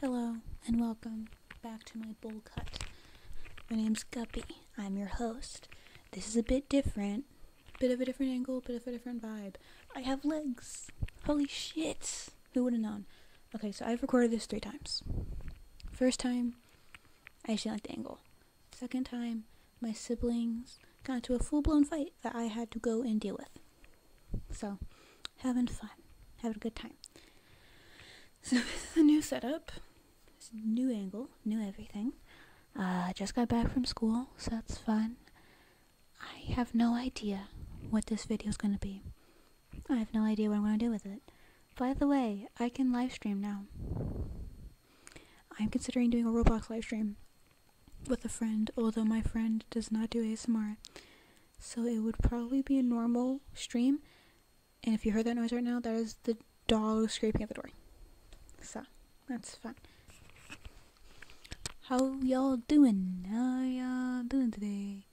Hello and welcome back to my bowl cut. My name's Guppy. I'm your host. This is a bit different. Bit of a different angle, bit of a different vibe. I have legs. Holy shit. Who would have known? Okay, so I've recorded this three times. First time, I actually like the angle. Second time, my siblings got into a full blown fight that I had to go and deal with. So, having fun, having a good time. So, this is a new setup, it's new angle, new everything. Uh, just got back from school, so that's fun. I have no idea what this video is going to be. I have no idea what I'm going to do with it. By the way, I can live stream now. I'm considering doing a Roblox live stream with a friend, although my friend does not do ASMR. So it would probably be a normal stream. And if you heard that noise right now, that is the dog scraping at the door. So, that's fun. How y'all doing? How y'all doing today?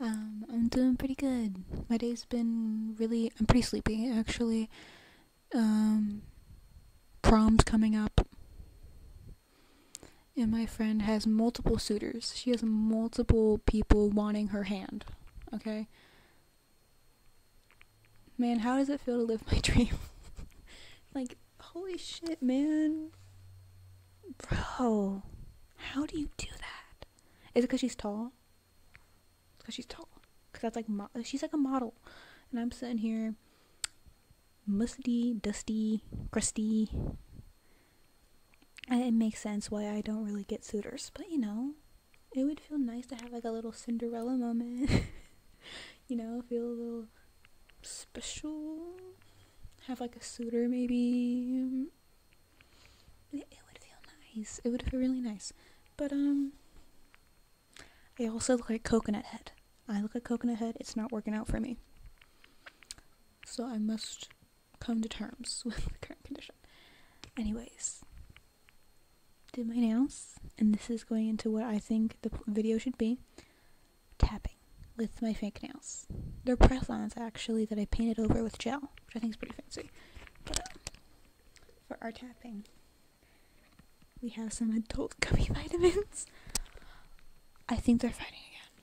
Um, I'm doing pretty good. My day's been really, I'm pretty sleepy actually. Um, prom's coming up. And my friend has multiple suitors. She has multiple people wanting her hand. Okay? Man, how does it feel to live my dream? like, holy shit, man. Bro, how do you do that? Is it because she's tall? Because she's tall. Because that's like, she's like a model. And I'm sitting here musty, dusty, crusty, it makes sense why I don't really get suitors, but you know, it would feel nice to have like a little Cinderella moment. you know, feel a little special. Have like a suitor maybe. It, would feel nice. It would feel really nice. But um I also look like coconut head. I look like coconut head. It's not working out for me. So I must come to terms with the current condition. Anyways, did my nails, and this is going into what I think the video should be tapping with my fake nails. They're press ons actually that I painted over with gel, which I think is pretty fancy. for our tapping, we have some adult gummy vitamins. I think they're fighting again.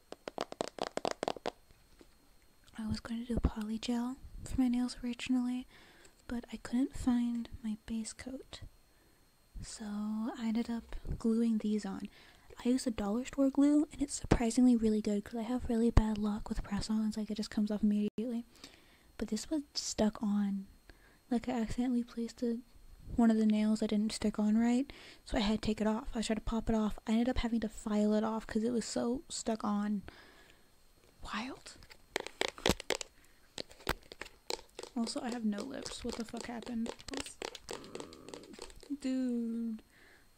I was going to do polygel for my nails originally, but I couldn't find my base coat. So I ended up gluing these on. I use the dollar store glue, and it's surprisingly really good because I have really bad luck with press ons. Like, it just comes off immediately. But this was stuck on. Like, I accidentally placed a one of the nails I didn't stick on right, so I had to take it off. I tried to pop it off. I ended up having to file it off because it was so stuck on. Wild. Also, I have no lips. What the fuck happened? Dude,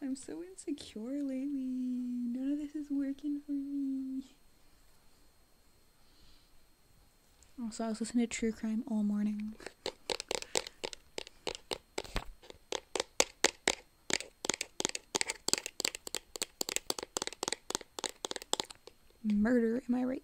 I'm so insecure lately. None of this is working for me. Also, I was listening to true crime all morning. Murder, am I right?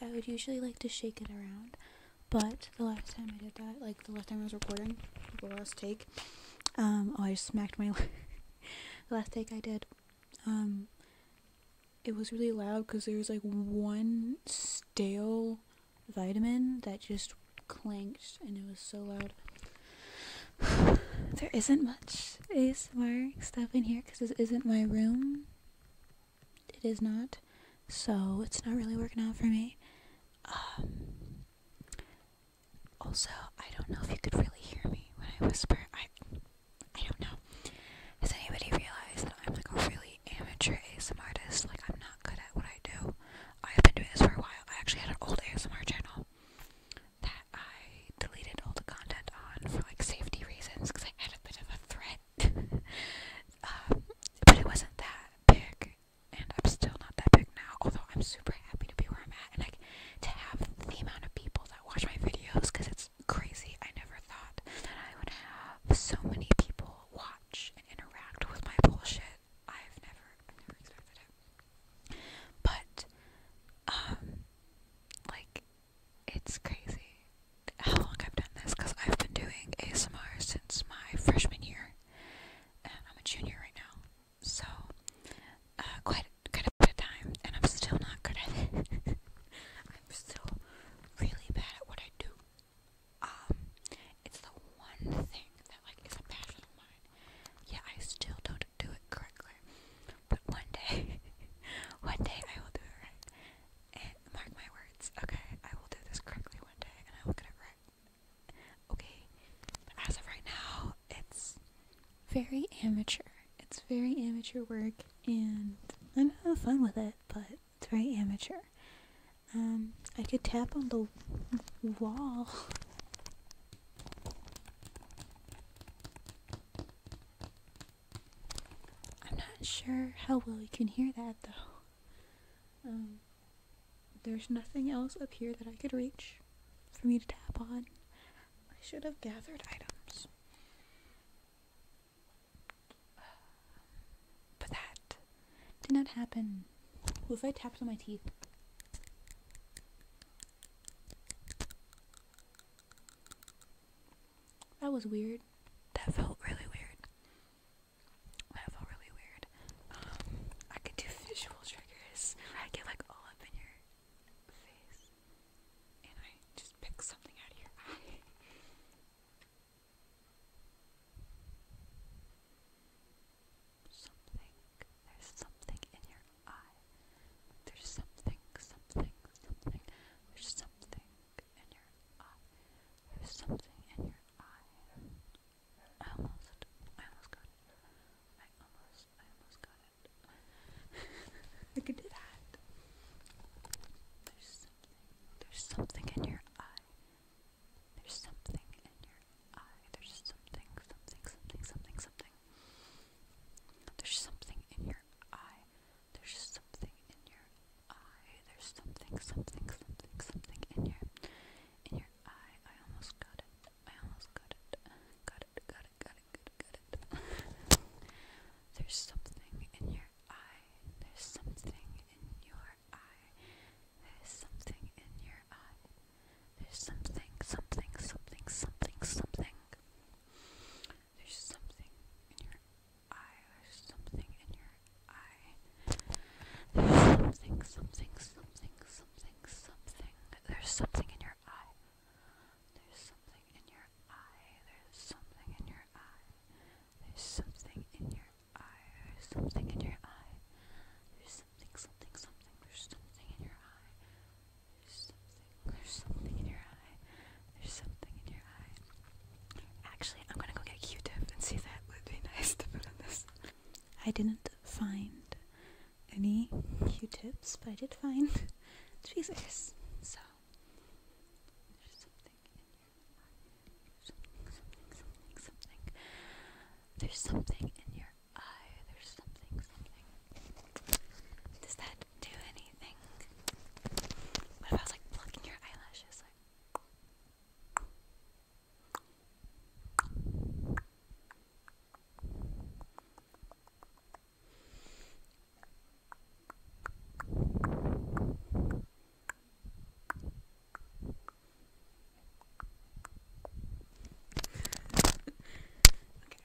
I would, usually like to shake it around, but the last time I did that, like the last time I was recording, the last take, um, oh, I just smacked my the last take I did, um, it was really loud because there was like one stale vitamin that just clanked and it was so loud there isn't much ASMR stuff in here because this isn't my room. It is not. So it's not really working out for me. Um, also, I don't know if you could really hear me when I whisper. I, I don't know. Has anybody realized that I'm like a really amateur ASMR artist? Like I'm not good at what I do. I've been doing this for a while. I actually had an old ASMR channel that I deleted all the content on for like safety reasons because I had a bit of a threat. Um, but it wasn't that big, and I'm still not that big now. Although I'm super happy to be where I'm at and like to have the amount of people that watch my videos because it's crazy. I never thought that I would have so many people watch and interact with my bullshit. I've never, I've never expected it. But um like it's crazy how long I've done this because I've been doing ASMR since my freshman year, and I'm a junior right now, so uh, quite quite a bit of time, and I'm still not good at it. I'm still really bad at what I do. Um, it's the one thing that like is a passion of mine. Yeah, I still don't do it correctly. But one day, one day I will do it right. And mark my words, okay? I will do this correctly one day and I will get it right. Okay, but as of right now, it's very amateur. It's very amateur work, and I'm having fun with it, but it's very amateur. Um, I could tap on the wall I'm not sure how well you can hear that though. Um, there's nothing else up here that I could reach for me to tap on. I should have gathered items. But that did not happen. What if I tapped on my teeth? That was weird. That felt really weird. That felt really weird. Um, I could do visual triggers. I get like all up in your face, and I just pick something out of your eye. Something. There's something in your I. There's something, something, something. There's something in your eye. There's something in your eye. I almost, I almost got it. I almost, I almost got it. I could do that. There's something, there's something in your eye. There's something in your eye. There's something, something, something, something, something something. There's something in your eye. There's something in your eye. There's something, something, something, something in your in your eye. I almost got it. I almost got it. Got it. Got it. Got it. Got it. Got it. There's something in your eye. There's something in your eye. There's something in your eye. There's something, something, something, something, something. There's something in your eye. There's something in your eye. There's something, something, something, something, something. There's something in your eye. There's something in your eye. There's something in your eye. There's something in your eye. There's something in your eye. There's something, something, something. There's something in your eye. There's something, in your eye. There's something in your eye. Actually, I'm gonna go get a Q-tip and see if that would be nice to put on this. I didn't find any Q-tips, but I did find tweezers. So there's something in your eye. Something, something, something, something. There's something in your eye. There's something, something. Does that do anything? What if I was like plucking your eyelashes? okay.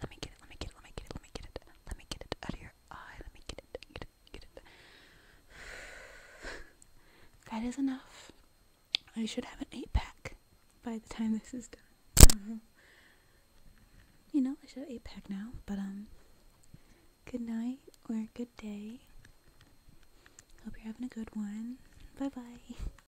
let me get it. Let me get it. Let me get it. Let me get it. Let me get it. Let me get it out of your eye. Let me get it. Get it. Get it. that is enough. I should have an eight pack by the time this is done. You know, I should have eight pack now, but um, good night or good day. Hope you're having a good one. Bye bye.